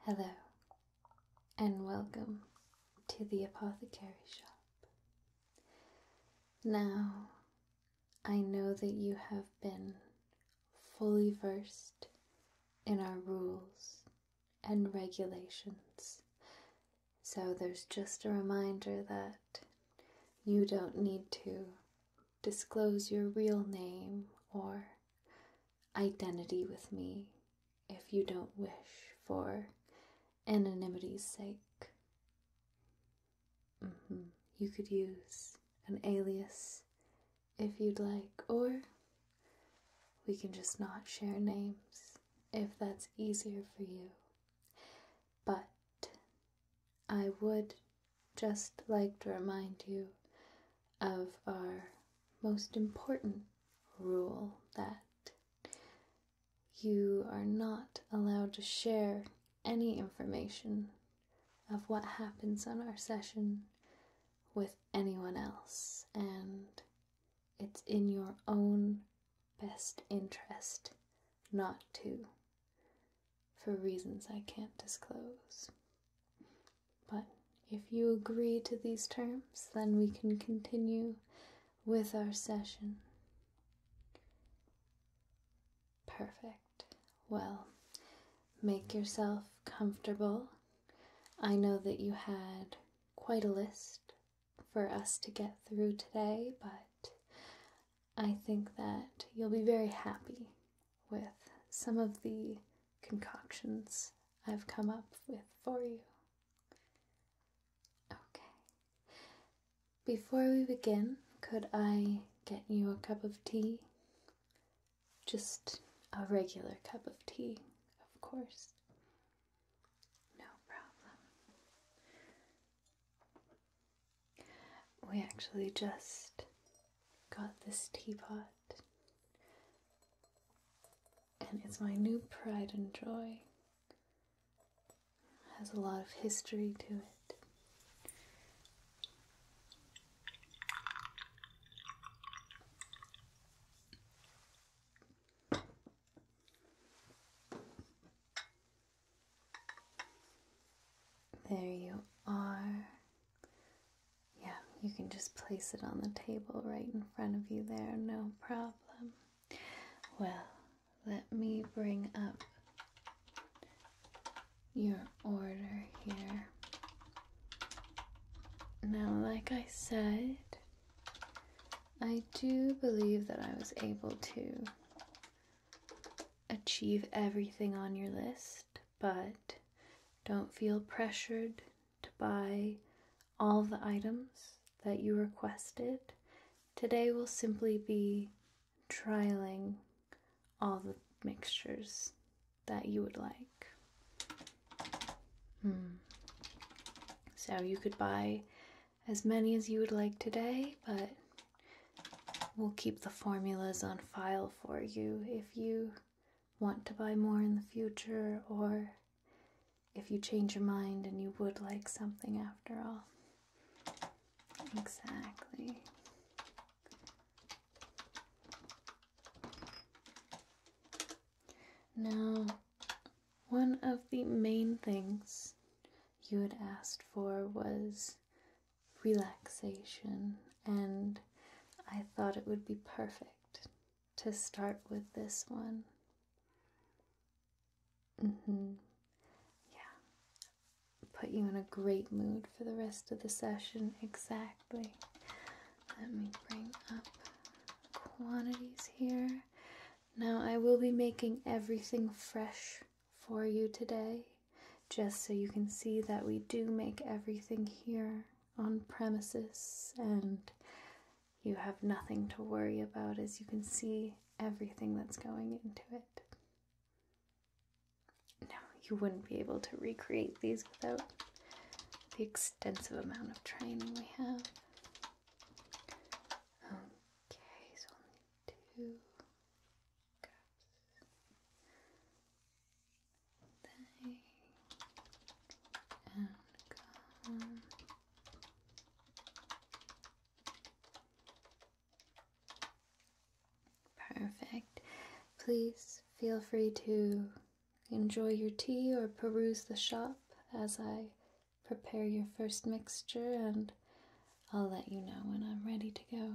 Hello, and welcome to the apothecary shop. Now, I know that you have been fully versed in our rules and regulations, so there's just a reminder that you don't need to disclose your real name or identity with me if you don't wish for anonymity's sake. Mm-hmm. You could use an alias if you'd like, or we can just not share names if that's easier for you. But I would just like to remind you of our most important rule that you are not allowed to share any information of what happens on our session with anyone else, and it's in your own best interest not to for reasons I can't disclose. But if you agree to these terms, then we can continue with our session. Perfect. Well, make yourself comfortable. I know that you had quite a list for us to get through today, but I think that you'll be very happy with some of the concoctions I've come up with for you. Okay. Before we begin, could I get you a cup of tea? Just a regular cup of tea, of course. No problem. We actually just got this teapot, and it's my new pride and joy. has a lot of history to it. There you are. Yeah, you can just place it on the table right in front of you there, no problem. Well, let me bring up your order here. Now, like I said, I do believe that I was able to achieve everything on your list, but don't feel pressured to buy all the items that you requested. Today will simply be trialing all the mixtures that you would like. Hmm. So you could buy as many as you would like today, but we'll keep the formulas on file for you if you want to buy more in the future, or if you change your mind and you would like something after all. Exactly. Now, one of the main things you had asked for was relaxation, and I thought it would be perfect to start with this one. Mm-hmm. Yeah. Put you in a great mood for the rest of the session. Exactly. Let me bring up quantities here. Now, I will be making everything fresh for you today just so you can see that we do make everything here on premises and you have nothing to worry about as you can see everything that's going into it. No, you wouldn't be able to recreate these without the extensive amount of training we have. Okay, so only two. Perfect. Please feel free to enjoy your tea or peruse the shop as I prepare your first mixture, and I'll let you know when I'm ready to go.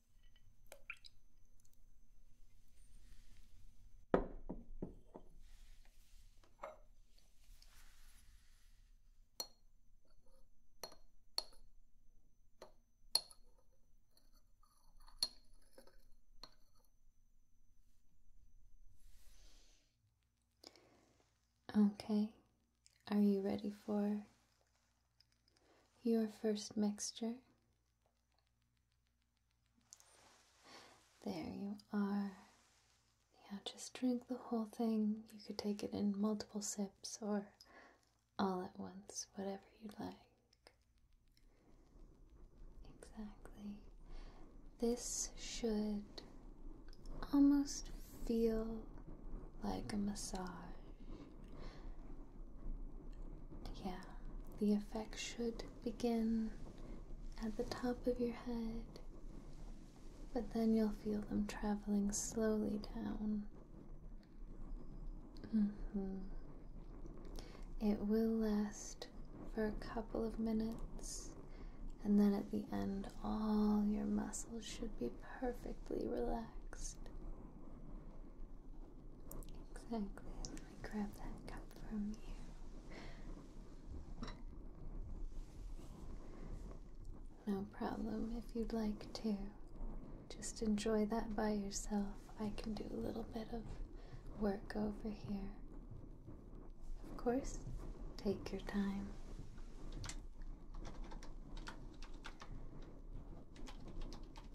Okay, are you ready for your first mixture? There you are. Yeah, just drink the whole thing. You could take it in multiple sips or all at once, whatever you'd like. Exactly. This should almost feel like a massage. Yeah, the effects should begin at the top of your head, but then you'll feel them traveling slowly down. Mm -hmm. It will last for a couple of minutes, and then at the end, all your muscles should be perfectly relaxed. Exactly I grab that cup from you. No problem if you'd like to. Just enjoy that by yourself. I can do a little bit of work over here. Of course, take your time.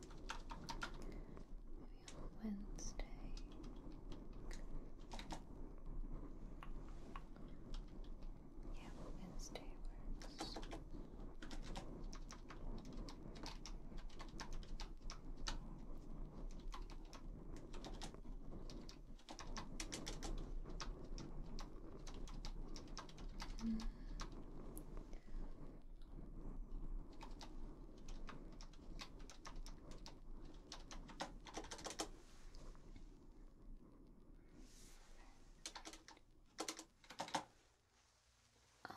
Maybe on Wednesday. Yeah, Wednesday works.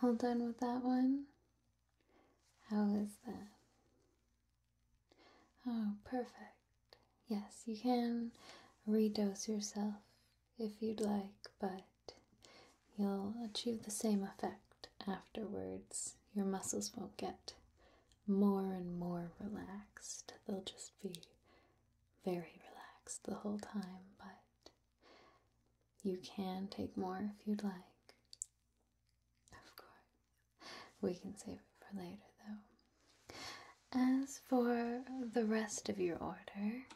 All done with that one? How is that? Oh, perfect. Yes, you can redose yourself if you'd like, but you'll achieve the same effect afterwards. Your muscles won't get more and more relaxed, they'll just be very relaxed the whole time, but you can take more if you'd like. Of course, we can save it for later though. As for the rest of your order,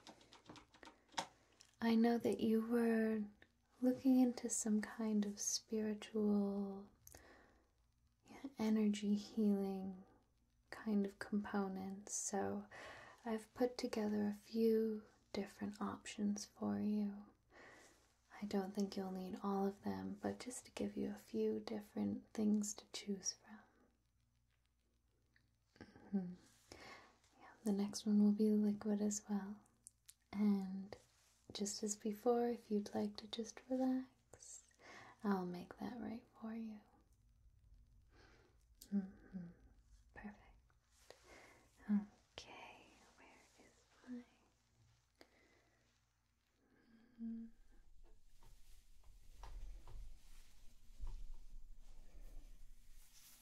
I know that you were looking into some kind of spiritual energy healing kind of components, so I've put together a few different options for you. I don't think you'll need all of them, but just to give you a few different things to choose from. Mm-hmm. the next one will be liquid as well. And just as before, if you'd like to just relax, I'll make that right for you. Mm-hmm. Perfect. Okay,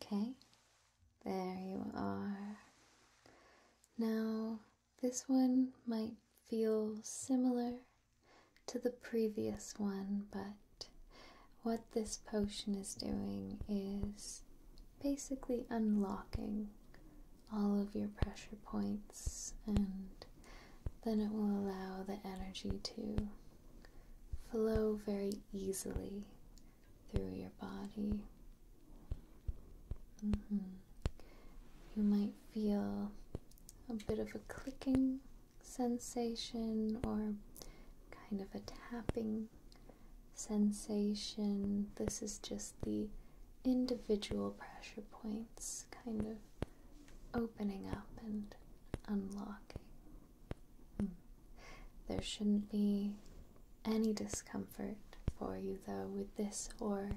Okay, there you are. Now, this one might feel similar to the previous one, but what this potion is doing is basically unlocking all of your pressure points, and then it will allow the energy to flow very easily through your body. Mm-hmm. You might feel a bit of a clicking sensation or kind of a tapping sensation. This is just the individual pressure points kind of opening up and unlocking. Hmm. There shouldn't be any discomfort for you though with this or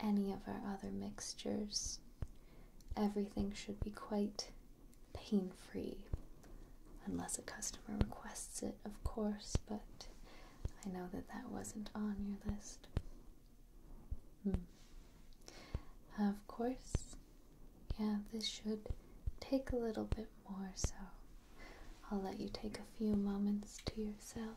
any of our other mixtures. Everything should be quite pain free, unless a customer requests it, of course, but I know that that wasn't on your list. Hmm. Of course, yeah, this should take a little bit more, so I'll let you take a few moments to yourself.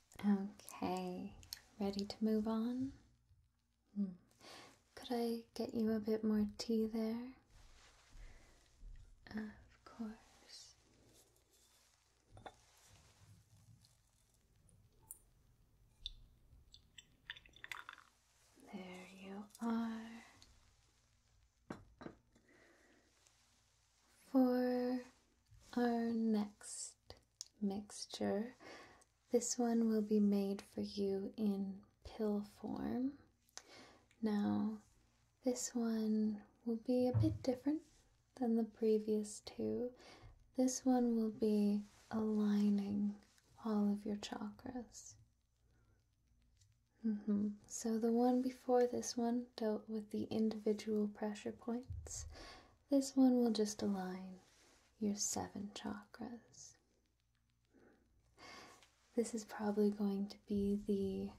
Okay, ready to move on? Hmm. Could I get you a bit more tea there? Of course. There you are. For our next mixture. This one will be made for you in pill form. Now, this one will be a bit different than the previous two. This one will be aligning all of your chakras. Mm-hmm. So, the one before this one dealt with the individual pressure points. This one will just align your seven chakras. This is probably going to be the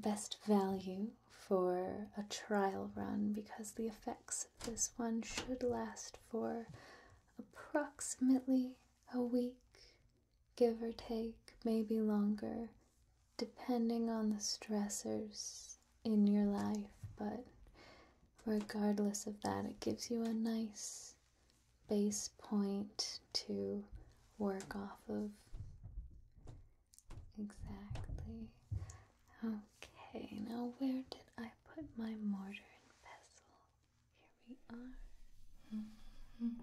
best value for a trial run because the effects of this one should last for approximately a week, give or take, maybe longer, depending on the stressors in your life, but regardless of that, it gives you a nice base point to work off of. Exactly. Okay, now where did I put my mortar and pestle? Here we are. Mm-hmm.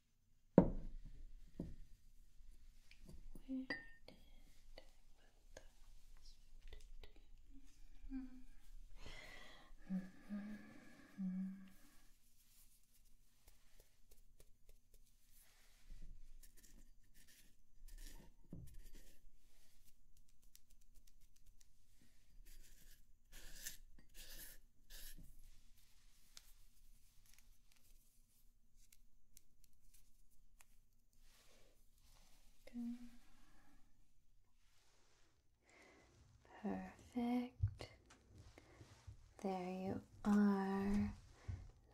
Where did I put those? Mm Perfect. There you are.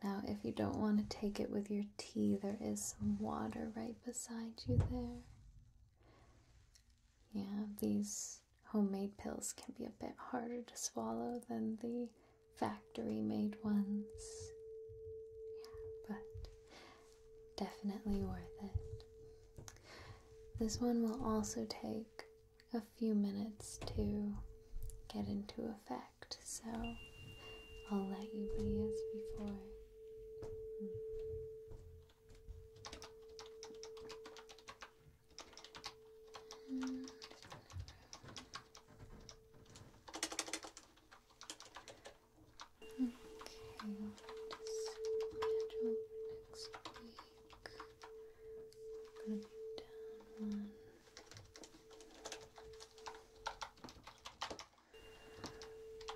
Now, if you don't want to take it with your tea, there is some water right beside you there. Yeah, these homemade pills can be a bit harder to swallow than the factory made ones. Yeah, but definitely worth it. This one will also take a few minutes to get into effect, so I'll let you be as before. Hmm. Okay, i schedule next week. gonna be down one.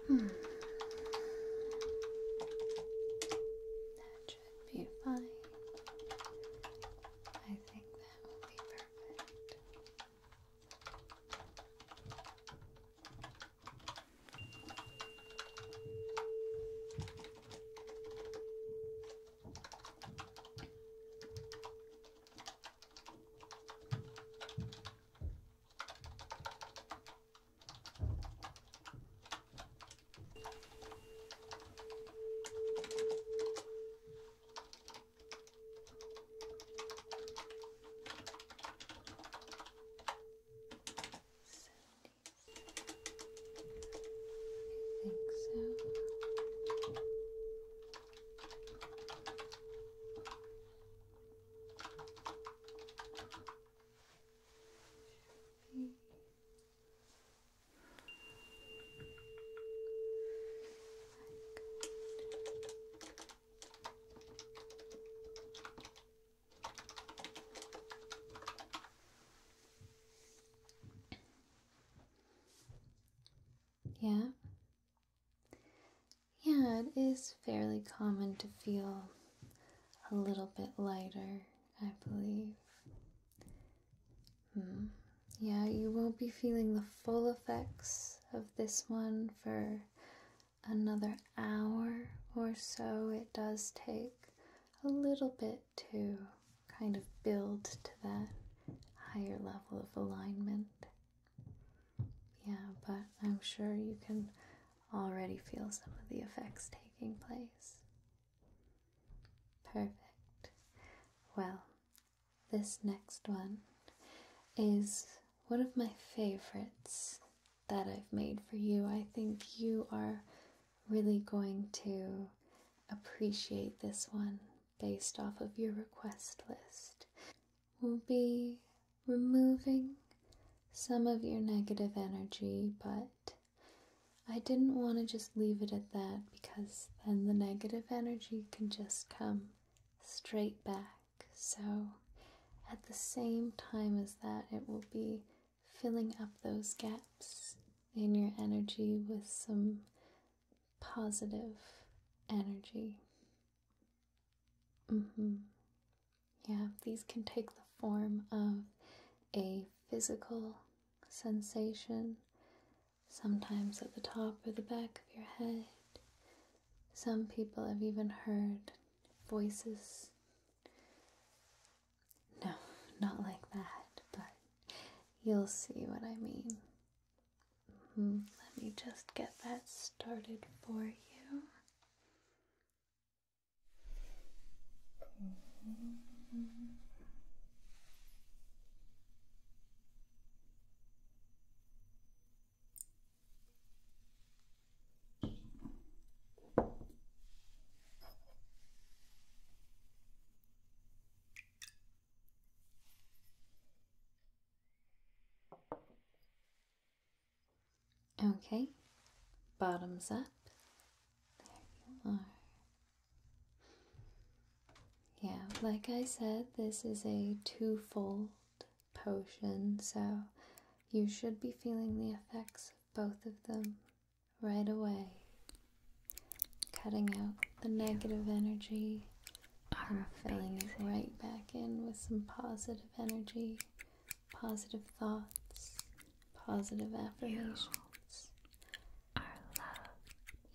Hmm. That should be fine. I think that will be perfect. I think so. Should be yeah. Yeah, it is fairly common to feel a little bit lighter I believe. Hmm. Yeah, you won't be feeling the full effects of this one for another hour or so. It does take a little bit to kind of build to that higher level of alignment. Yeah, but I'm sure you can already feel some of the effects taking place. Perfect. Well, this next one is one of my favorites that I've made for you. I think you are really going to appreciate this one based off of your request list. will be removing some of your negative energy, but I didn't want to just leave it at that because then the negative energy can just come straight back. So, at the same time as that, it will be filling up those gaps in your energy with some positive energy. Mm-hmm. Yeah, these can take the form of a physical sensation sometimes at the top or the back of your head. Some people have even heard voices. No, not like that, but you'll see what I mean. Mm-hmm. Let me just get that started for you. Mm-hmm. Okay, bottoms up. There you are. Yeah, like I said, this is a twofold potion, so you should be feeling the effects of both of them right away, cutting out the negative energy and filling it right back in with some positive energy, positive thoughts, positive affirmations.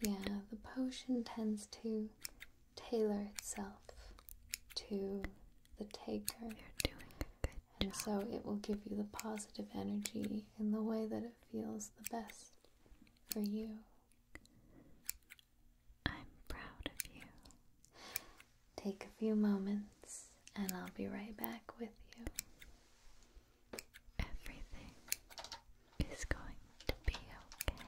Yeah, the potion tends to tailor itself to the taker. and so it will give you the positive energy in the way that it feels the best for you. I'm proud of you. Take a few moments, and I'll be right back with you. Everything is going to be okay.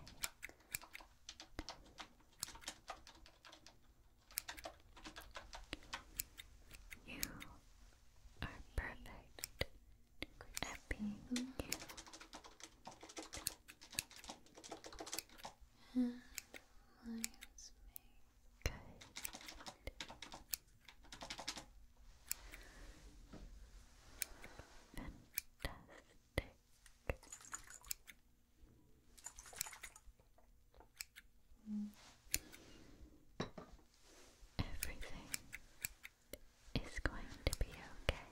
You are perfect at being you. And minus me. Good. Fantastic. Everything is going to be okay.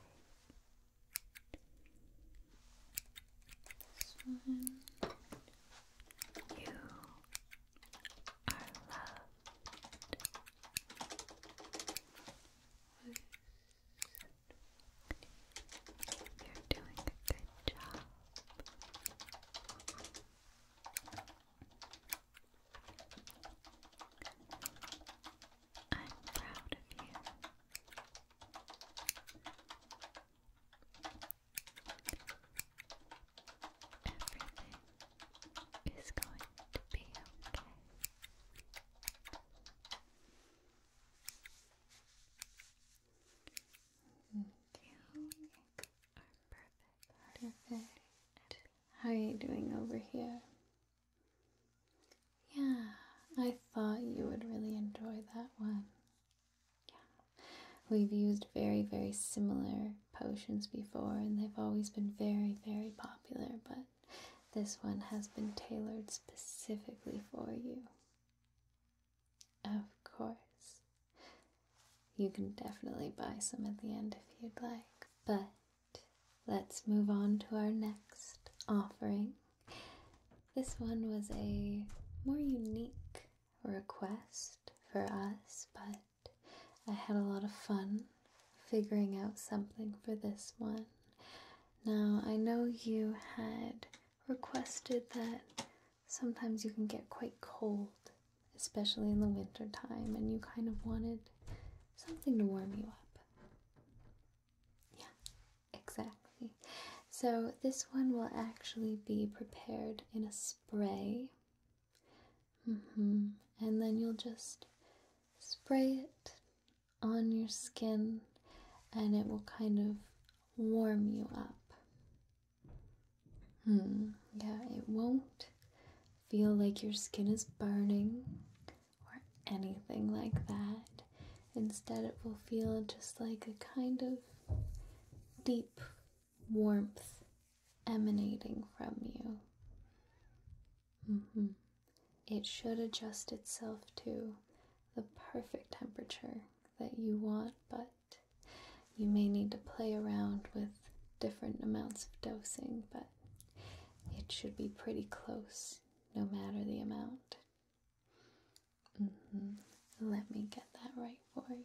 you are loved. You're doing a good job. I'm proud of you. Everything is going to be okay. Thank you. You perfect. Perfect. How are you doing over here? Yeah, I thought you would really enjoy that one. Yeah. We've used very, very similar potions before, and they've always been very, very popular, but this one has been tailored specifically for you. Of course. You can definitely buy some at the end if you'd like. But let's move on to our next offering. This one was a more unique request for us, but I had a lot of fun figuring out something for this one. Now, I know you had requested that sometimes you can get quite cold, especially in the winter time, and you kind of wanted something to warm you up. Yeah, exactly. So, this one will actually be prepared in a spray. Mm -hmm. And then you'll just spray it on your skin and it will kind of warm you up. Hmm, yeah, it won't feel like your skin is burning or anything like that. Instead, it will feel just like a kind of deep warmth emanating from you. Mm-hmm. It should adjust itself to the perfect temperature that you want, but you may need to play around with different amounts of dosing, but it should be pretty close no matter the amount. Mm-hmm. Let me get that right for you.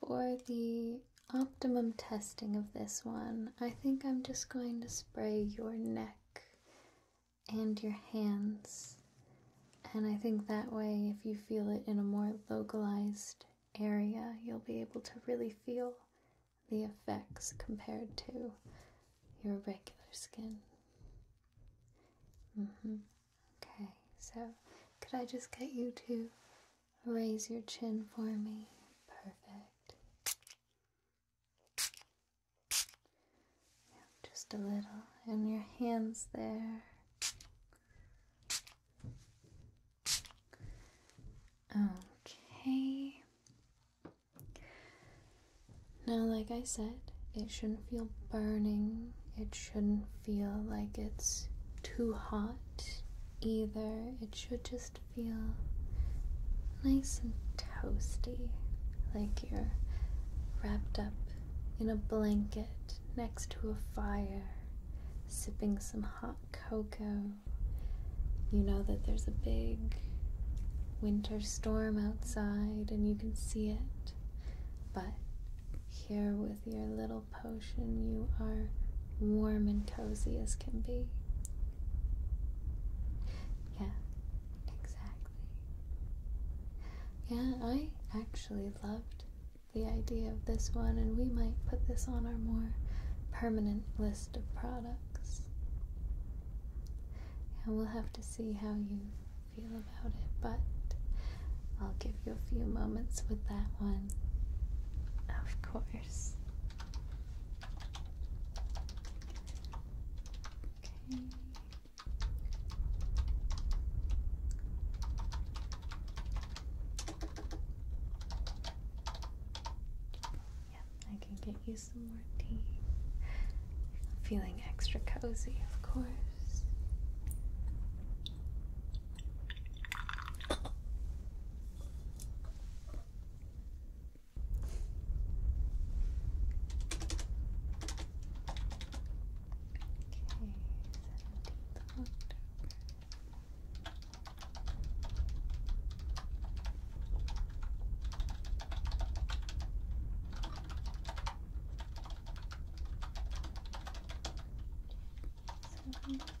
for the optimum testing of this one, I think I'm just going to spray your neck and your hands. And I think that way, if you feel it in a more localized area, you'll be able to really feel the effects compared to your regular skin. Mm-hmm. Okay, so could I just get you to Raise your chin for me. Perfect. just a little. And your hands there. Okay. Now, like I said, it shouldn't feel burning. It shouldn't feel like it's too hot either. It should just feel nice and toasty, like you're wrapped up in a blanket next to a fire, sipping some hot cocoa. You know that there's a big winter storm outside and you can see it, but here with your little potion, you are warm and cozy as can be. Yeah, exactly. Yeah, I actually loved the idea of this one, and we might put this on our more permanent list of products. And we'll have to see how you feel about it, but I'll give you a few moments with that one. Of course. Okay. I can get you some more tea. Feeling extra cozy, of course. October. Seven.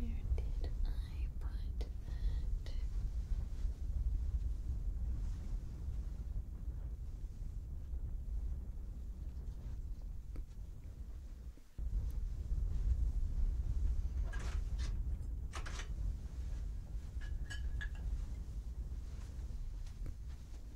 Where did I put that?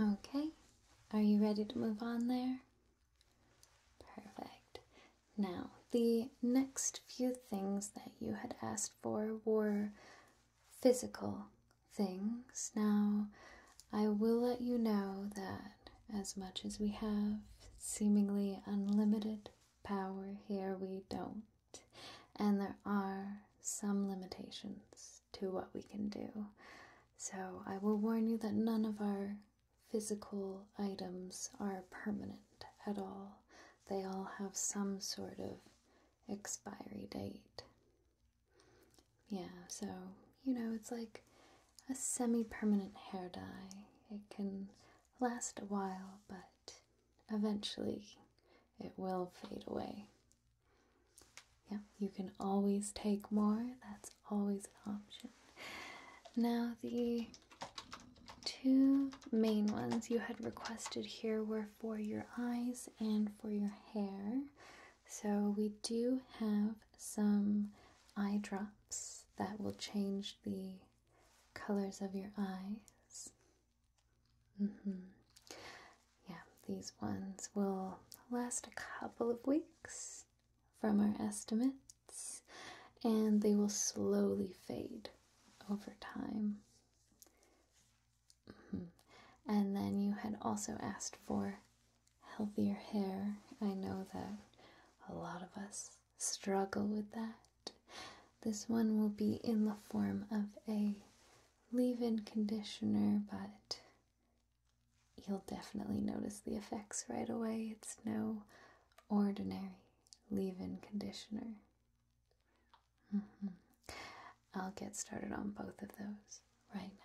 Okay, are you ready to move on there? Perfect. Now, the next few things that you had asked for were physical things. Now, I will let you know that as much as we have seemingly unlimited power here, we don't and there are some limitations to what we can do. So I will warn you that none of our physical items are permanent at all. They all have some sort of expiry date. Yeah, so, you know, it's like a semi permanent hair dye. It can last a while, but eventually it will fade away. Yeah, you can always take more, that's always an option. Now, the two main ones you had requested here were for your eyes and for your hair. So, we do have some eye drops that will change the colors of your eyes. Mm-hmm. Yeah, these ones will last a couple of weeks from our estimates, and they will slowly fade over time. Mm-hmm. And then you had also asked for healthier hair. I know that a lot of us struggle with that. This one will be in the form of a leave in conditioner, but you'll definitely notice the effects right away. It's no ordinary leave in conditioner. Mm-hmm. I'll get started on both of those right now.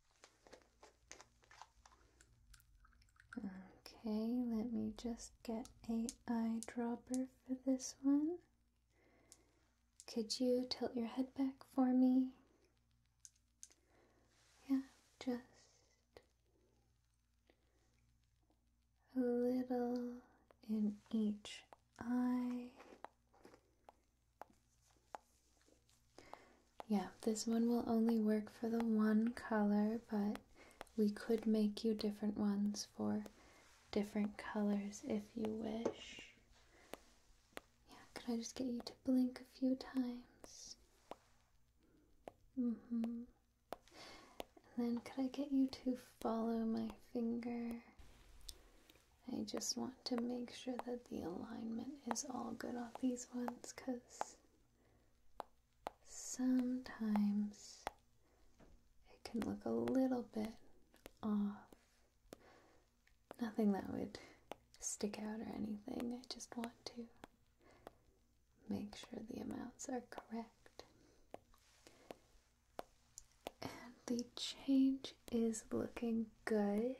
Okay, let me just get a eyedropper for this one. Could you tilt your head back for me? Yeah, just a little in each eye. Yeah, this one will only work for the one color, but we could make you different ones for different colors if you wish. Yeah, could I just get you to blink a few times? Mm hmm. And then could I get you to follow my finger? I just want to make sure that the alignment is all good on these ones because sometimes it can look a little bit off. Nothing that would stick out or anything. I just want to make sure the amounts are correct. And the change is looking good.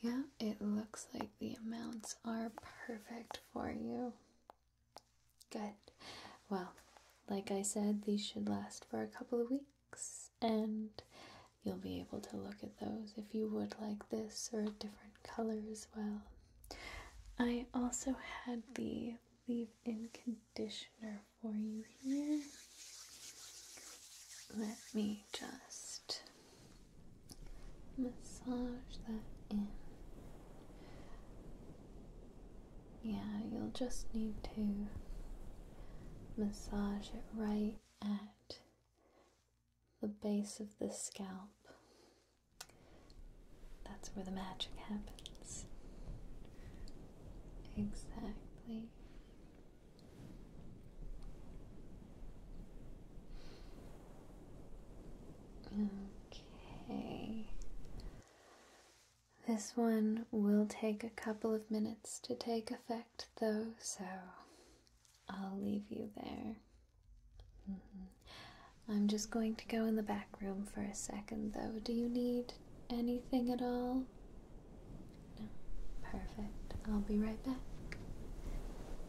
Yeah, it looks like the amounts are perfect for you. Good. Well, like I said, these should last for a couple of weeks, and you'll be able to look at those if you would like this or different colors. well. I also had the leave in conditioner for you here. Let me just massage that in. Yeah, you'll just need to massage it right at the base of the scalp. That's where the magic happens. Exactly. Okay. This one will take a couple of minutes to take effect, though, so I'll leave you there. Mm-hmm. I'm just going to go in the back room for a second, though. Do you need anything at all? No. Perfect. I'll be right back.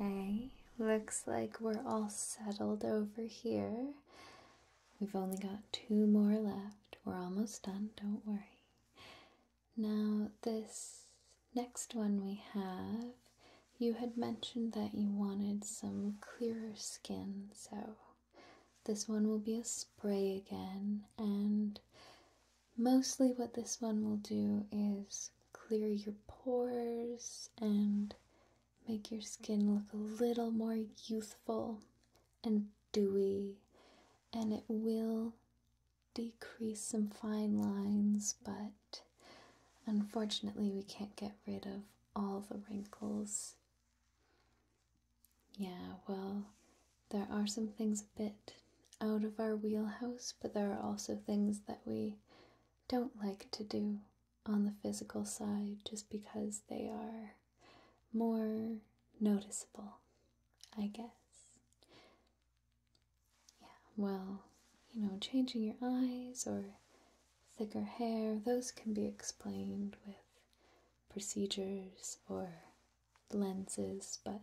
Okay, looks like we're all settled over here. We've only got two more left. We're almost done, don't worry. Now, this next one we have, you had mentioned that you wanted some clearer skin, so this one will be a spray again. And mostly, what this one will do is clear your pores and make your skin look a little more youthful and dewy, and it will decrease some fine lines, but unfortunately, we can't get rid of all the wrinkles. Yeah, well, there are some things a bit out of our wheelhouse, but there are also things that we don't like to do on the physical side just because they are more noticeable, I guess. Yeah, well, you know, changing your eyes or thicker hair, those can be explained with procedures or lenses, but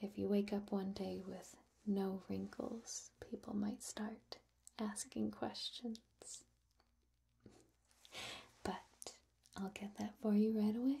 if you wake up one day with no wrinkles, people might start asking questions. But I'll get that for you right away.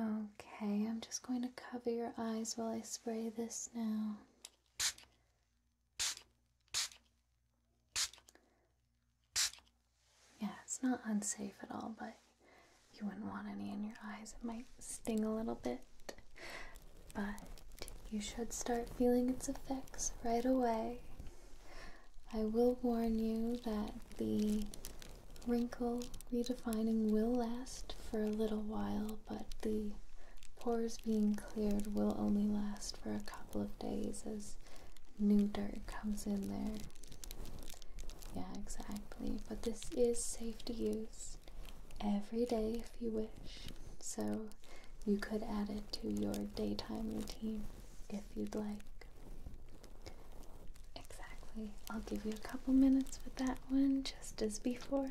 Okay, I'm just going to cover your eyes while I spray this now. Yeah, it's not unsafe at all, but you wouldn't want any in your eyes. It might sting a little bit, but you should start feeling its effects right away. I will warn you that the wrinkle redefining will last for a little while, but the pores being cleared will only last for a couple of days as new dirt comes in there. Yeah, exactly. But this is safe to use every day if you wish. So you could add it to your daytime routine if you'd like. Exactly. I'll give you a couple minutes with that one just as before.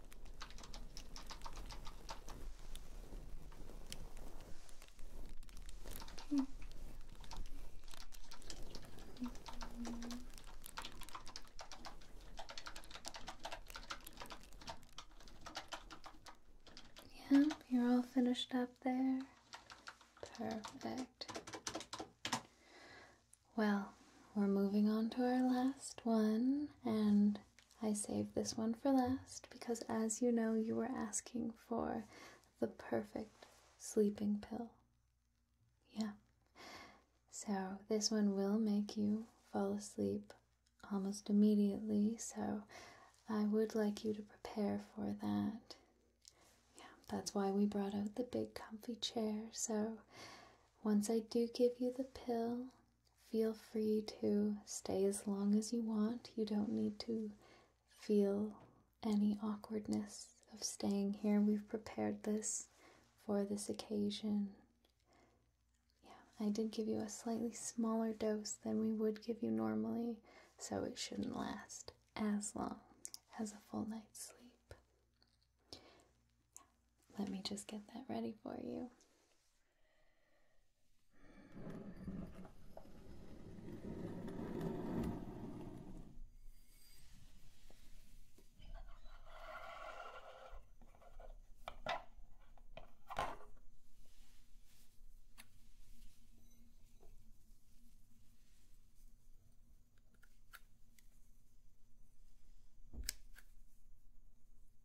Yeah, you're all finished up there. Perfect. Well, we're moving on to our last one, and I saved this one for last because, as you know, you were asking for the perfect sleeping pill. Yeah. So, this one will make you fall asleep almost immediately, so I would like you to prepare for that. Yeah, that's why we brought out the big comfy chair. So, once I do give you the pill, Feel free to stay as long as you want. You don't need to feel any awkwardness of staying here. We've prepared this for this occasion. Yeah, I did give you a slightly smaller dose than we would give you normally, so it shouldn't last as long as a full night's sleep. Let me just get that ready for you.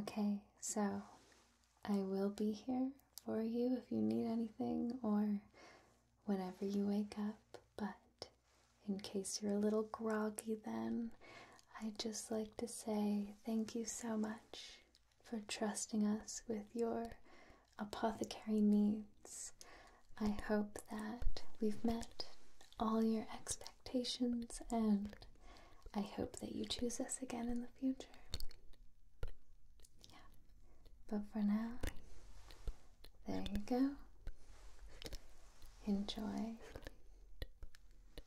Okay, so I will be here for you if you need anything or whenever you wake up, but in case you're a little groggy then, I'd just like to say thank you so much for trusting us with your apothecary needs. I hope that we've met all your expectations and I hope that you choose us again in the future. But for now, there you go. Enjoy